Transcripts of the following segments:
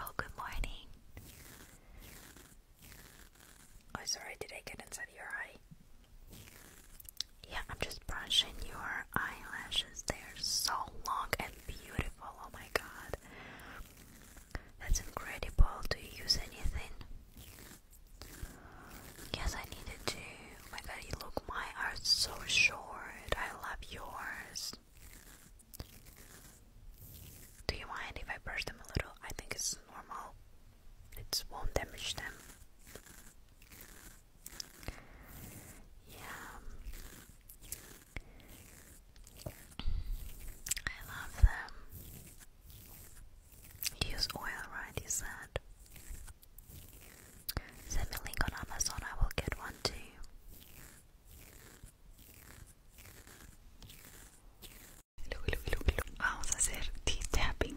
Oh, good morning. Oh, sorry, did I get inside your eye? Yeah, I'm just brushing your eyelashes. They are so long and beautiful. Oh my god. That's incredible. Do you use anything? Yes, I needed to. Oh my god, you look, my are so short. I love yours. Do you mind if I brush them a little? I think it's normal. It won't damage them. Yeah. I love them. Use oil, right? You said. Send me a link on Amazon, I will get one too. Vamos a hacer teeth tapping.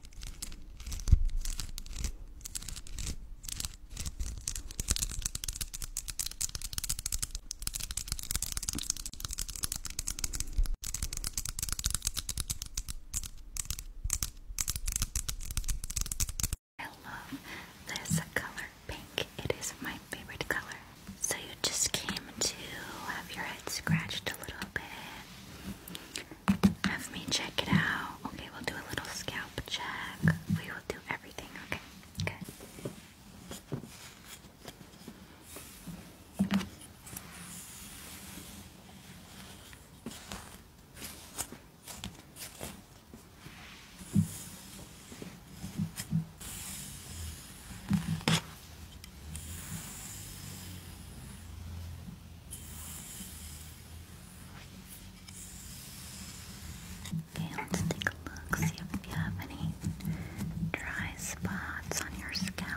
I love this color pink. It is my favorite color. So you just came to have your head scratched a little bit. Have me check it out. Okay, we'll do a little scalp check. We will do everything. Okay, good. Okay, let's take a look, see if you have any dry spots on your scalp.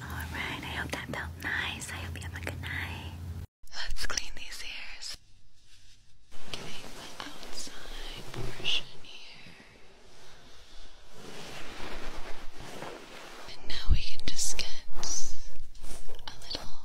Alright, I hope that felt nice. I hope you have a good night. Let's clean these ears. Getting the outside portion here. And now we can just get a little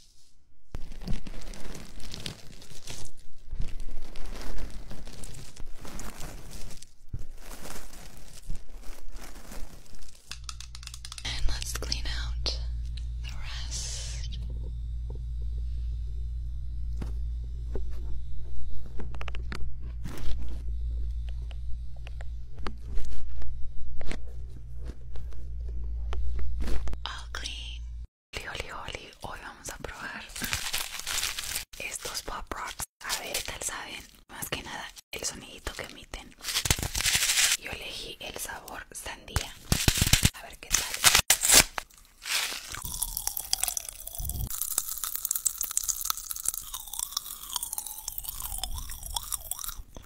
And let's clean out the rest. Oli, oli, Hoy vamos a probar estos pop rocks. A ver, tal saben. Más que nada el sonidito que emiten. Yo elegí el sabor sandía. A ver qué tal.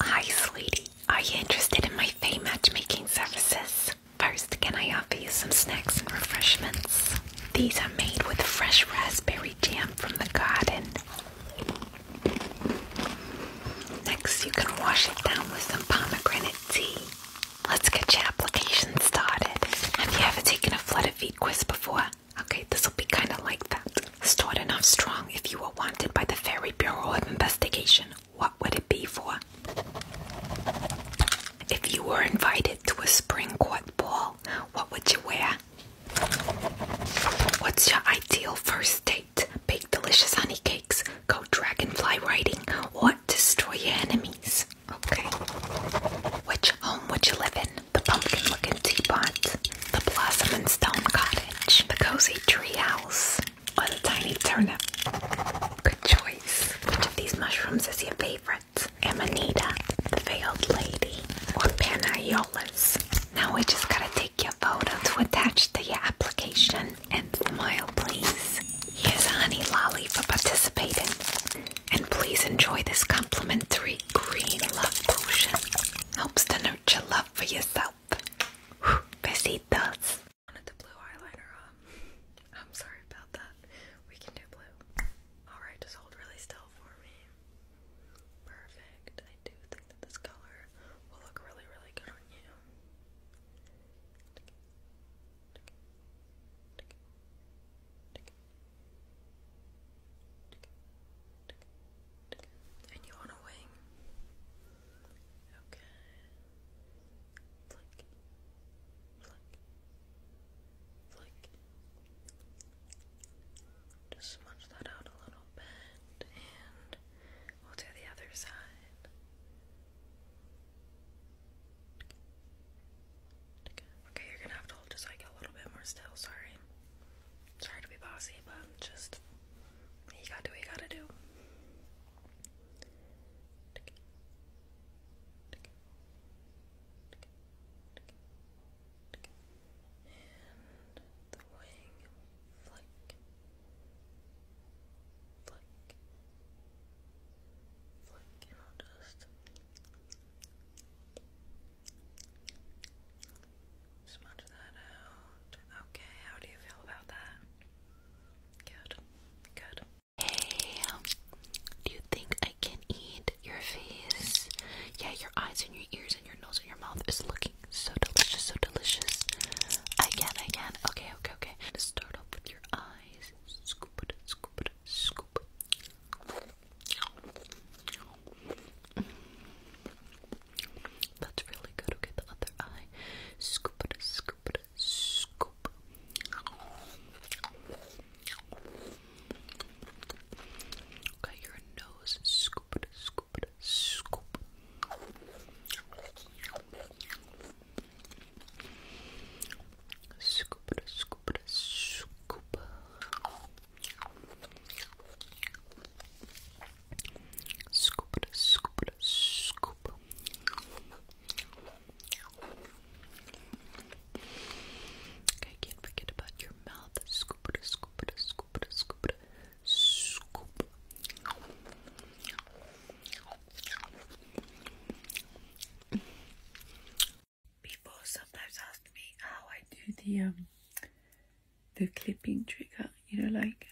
Hi, sweetie. Are you interested in my Faye matchmaking services? First, can I offer you some snacks and refreshments? These are made with fresh raspberry jam from the garden. Next, you can wash it down with some pomegranate tea. Let's get your application started. Have you ever taken a flood feet quiz before? Okay, this will be kind of like that. Start enough strong if you were wanted by the Fairy Bureau of Investigation. What would it be for? If you were invited to a spring court ball, what would you wear? What's your ideal first date? Bite, delicious honey cakes, go dragonfly riding, or destroy your enemies. Okay. Which home Which you live in? The pumpkin looking teapot, the blossom and stone cottage, the cozy tree house, or the tiny turnip? Good choice. Which of these mushrooms is your favorite? Amanita, the veiled lady, or Panayolas? Now we just gotta take your photo to attach to your application and smile, please. Here's a honey lolly for participating. And please enjoy this complimentary green love potion. Helps to nurture love for yourself. Whew, besitos. wanted the blue eyeliner on. I'm sorry about that. We can do blue. Alright, just hold really still for me. Perfect. I do think that this color will look really, really good on you. And you want a wing? Okay. Just smudge that out a little bit and We'll do the other side. Okay, you're gonna have to hold just like a little bit more still, sorry. Sorry to be bossy, but just you gotta do what you gotta do. And the wing flick, flick, flick, and I'll just smudge that out. Okay, how do you feel about that? Good, good. Hey, do you think I can eat your face? Yeah, your eyes and your ears and your nose and your mouth is looking so delicious, so delicious. I can, I can. Okay, okay, okay. Let's start off with your eyes. Scoop it, scoop it, scoop it. That's really good. Okay, the other eye. Scoop it, scoop it, scoop. Okay, your nose. Scoop it, scoop scoop, scoop. Scoop, scoop, scoop. Scoop, scoop, scoop. Okay, can't forget about your mouth. Scoop, scoop, scoop, scoop. People sometimes ask me how I do the um the clipping trigger, you know like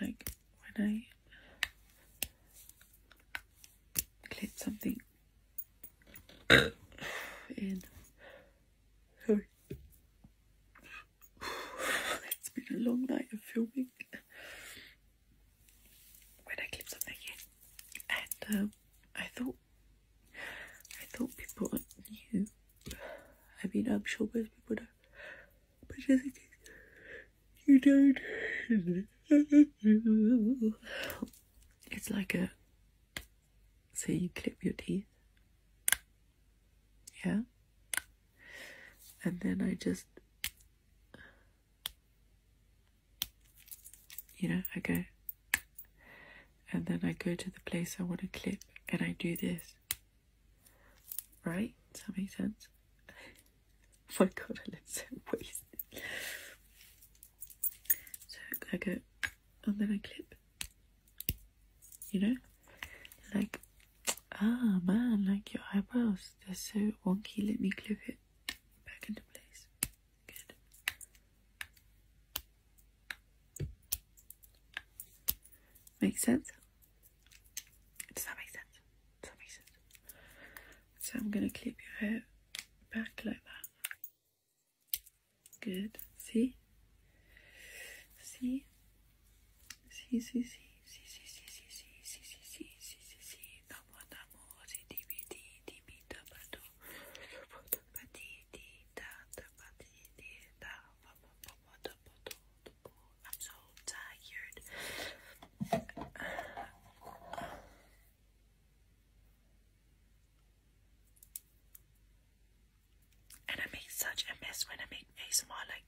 like when I clip something in it's been a long night of filming. When I clip something and um, I thought, I thought people knew. I mean, I'm sure most people do, but just in case you don't, it's like a so you clip your teeth. Yeah. And then I just, you know, I go. And then I go to the place I want to clip and I do this. Right? Does that make sense? oh my god, it's look so wasted. So I go and oh, then I clip. You know? Like, ah man, like your eyebrows, they're so wonky, let me clip it back into place. Good. Make sense? Does that make sense? Does that make sense? So I'm gonna clip your hair back like that. Good. See? See? See, see, see. I'm so tired. And I make such a mess when I make ASMR, like,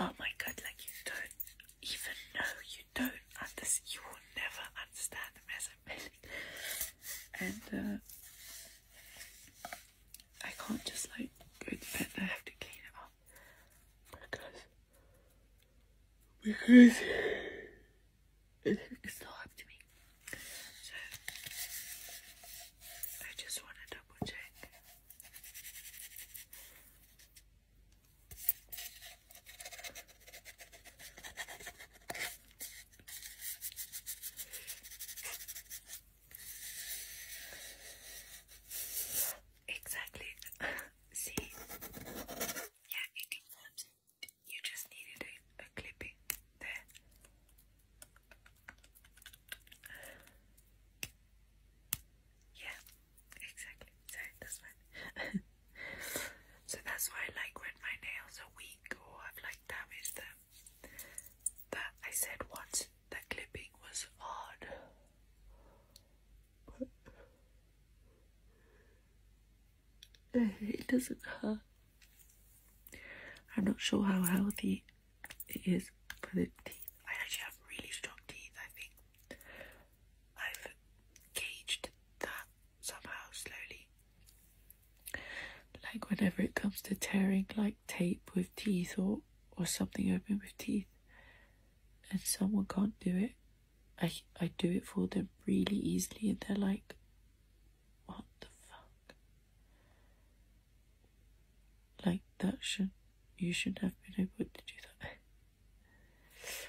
oh my god, like, you don't even know, you don't understand, you will never understand the mess I'm making. And, uh, I can't just, like, go to bed, I have to clean it up. Because, because, it's not up to me. So I just want to double check. Exactly. See? Yeah, You just needed a, a clipping there. Yeah, exactly. So that's fine. so that's why I like when my nails are weak or I've like damaged them. That I said once that clipping was hard. it doesn't hurt I'm not sure how healthy it is but the teeth. I actually have really strong teeth. I think I've gauged that somehow slowly. Like whenever it comes to tearing like tape with teeth or or something open with teeth, and someone can't do it, I I do it for them really easily, and they're like, what the fuck? Like that should you should have been able to do that.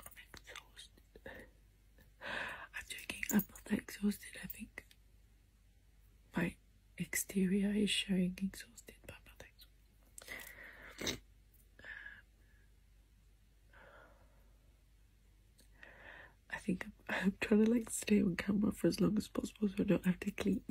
I'm exhausted. I'm joking, I'm not exhausted, I think. My exterior is showing exhausted, but I'm not exhausted. I think I'm, I'm trying to like stay on camera for as long as possible so I don't have to clean.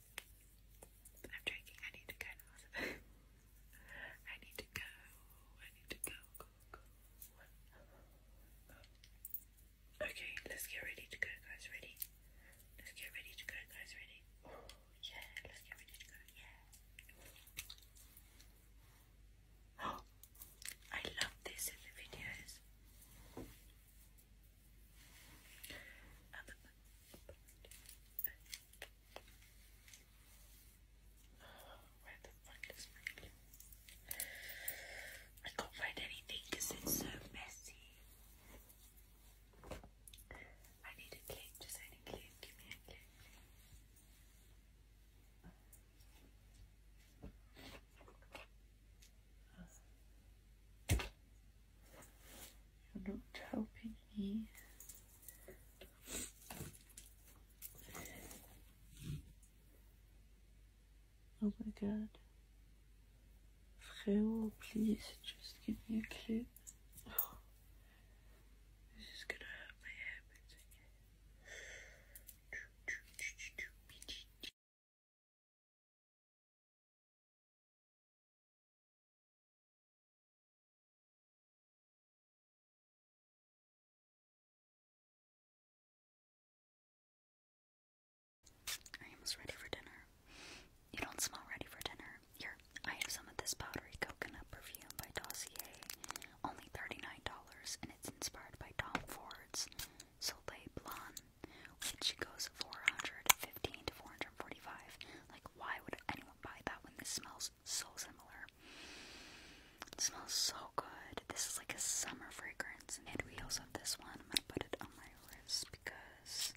I'm joking, I need to go I need to go. I need to go. go, go. Okay, let's get ready to go, guys. Ready? Let's get ready to go, guys. Ready? yeah, let's get ready to go. Yeah. I love this in the videos. Where the I can't find anything because it's so messy. I need a clip, just any clip, give me a clip. You're not helping me. Oh my god. Freo, please just give me a clue. Oh. this is gonna hurt my habits I am almost ready for dinner. You don't smell ready for dinner. Here, I have some of this powdery coconut perfume by Dossier. Only $39, and it's inspired by Tom Ford's Soleil Blonde, which goes 415 to 445 Like, why would anyone? buy that when this smells so similar? It smells so good. This is like a summer fragrance. And we also have this one. I'm gonna put it on my wrist because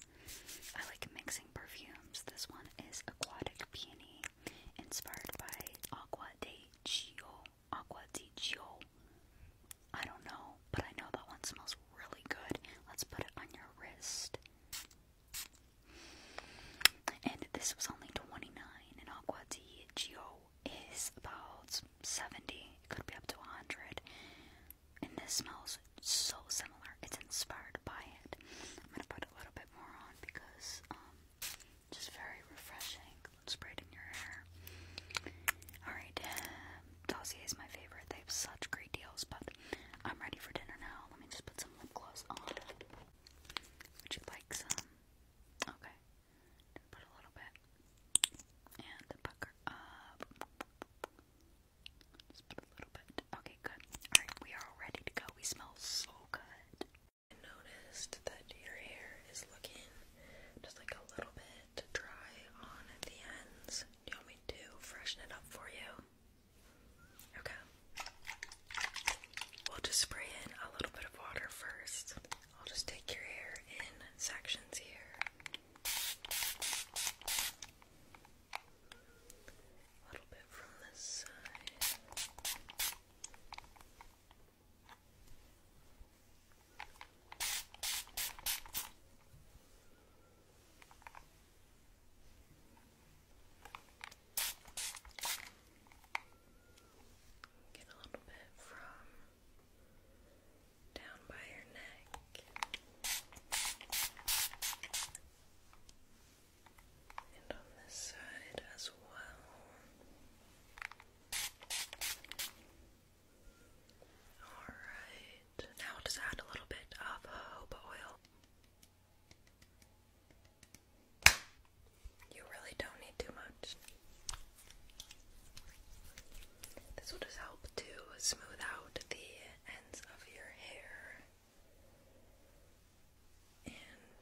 I like mixing perfumes. This one is Aquatic Peony, inspired by Aqua de Gio. Aqua di Gio. I don't know, but I know that one smells really good. Let's put it on your wrist. And this was only 29, and Aqua di Gio is about 70, it could be up to 100. And this smells so similar, it's inspired by it. I'm gonna put a little bit more on because, um, just very refreshing. Spray it in your hair. Alright, um, Dossier is my favorite. They have such great deals, but I'm ready for dinner now let me just put some lip gloss on. Would you like some? Okay. put a little bit. And pucker up. Just put a little bit. Okay, good. Alright, we are all ready to go. We smell so good. I noticed that your hair is looking just like a little bit dry on the ends. you want me to freshen it up for you? Okay. We'll just spray in a little bit of water first. I'll just take your hair in sections here. A little bit from this side. Get a little bit from down by your neck and on this side as well. All right. Now I'll just add a little bit of jojoba oil. You really don't need too much. This will just help to smooth out the ends of your hair and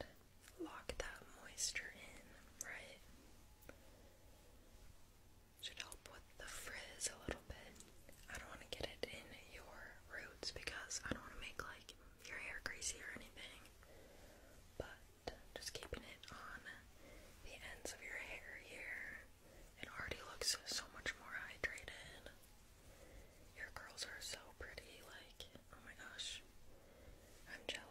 lock that moisture in, right? Should help the frizz a little bit. I don't want to get it in your roots because I don't want to make like your hair greasy or anything. But just keeping it on the ends of your hair here. It already looks so much more hydrated. Your curls are so pretty, like, oh my gosh. I'm jealous.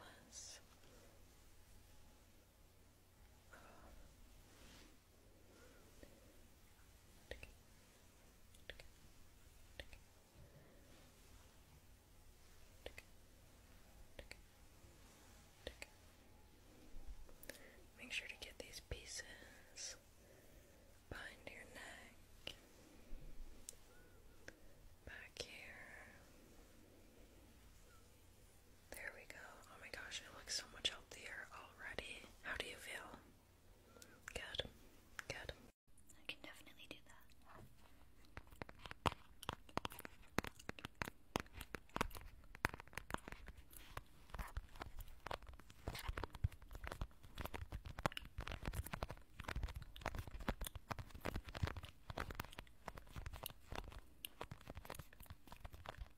Make sure to get these pieces behind your neck, back here. There we go. Oh my gosh, it looks so much healthier already. How do you feel? Good. Good. I can definitely do that.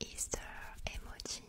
Easter emoji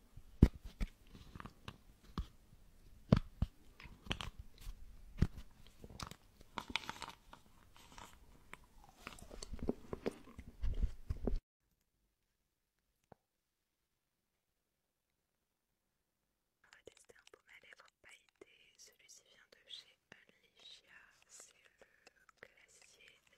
On va tester un peu à lèvres pailleté. Celui-ci vient de chez Alicia. C'est le glacier de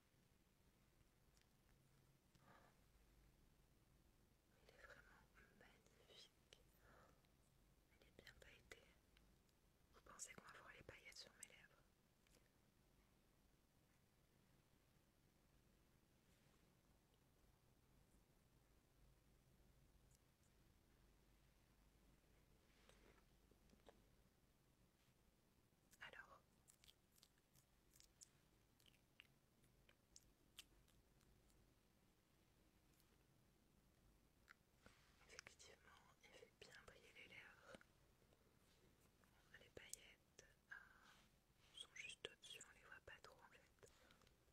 Il est vraiment magnifique. Il est bien pailleté Vous pensez qu'on va voir les paillettes sur mes lèvres Alors, Effectivement, il fait bien briller les lèvres. Les paillettes euh, sont juste au-dessus, on les voit pas trop en fait.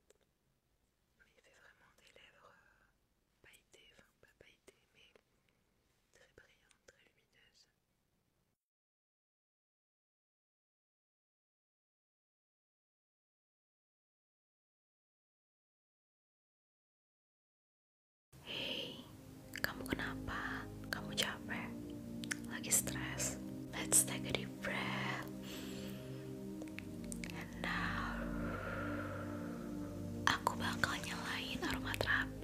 Mais il fait vraiment des lèvres euh, pailletées, enfin pas pailletées, mais très brillantes, très lumineuses. Hey, kamu kenapa? Kamu capek? Lagi stres? Let's take a deep breath. now, aku bakal nyalain aroma terapi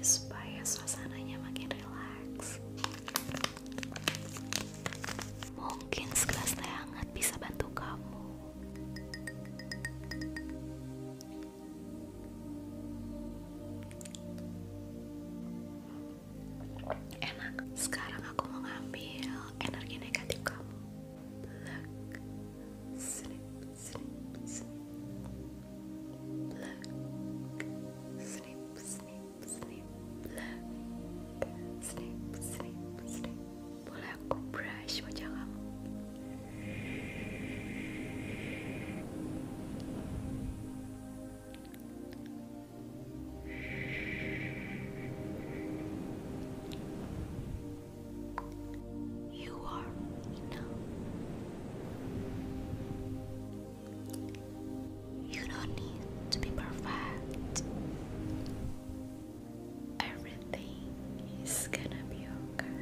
supaya suasananya makin relax. Mungkin segelas teh hangat bisa bantu kamu. Enak. Sekarang aku mengambil energi negatif kamu. Snip, snip, pluck. Snip, snip, snip, Snip, snip, snip. Boleh aku brush wajah kamu? You are enough. You don't need to be perfect. Everything is gonna be okay.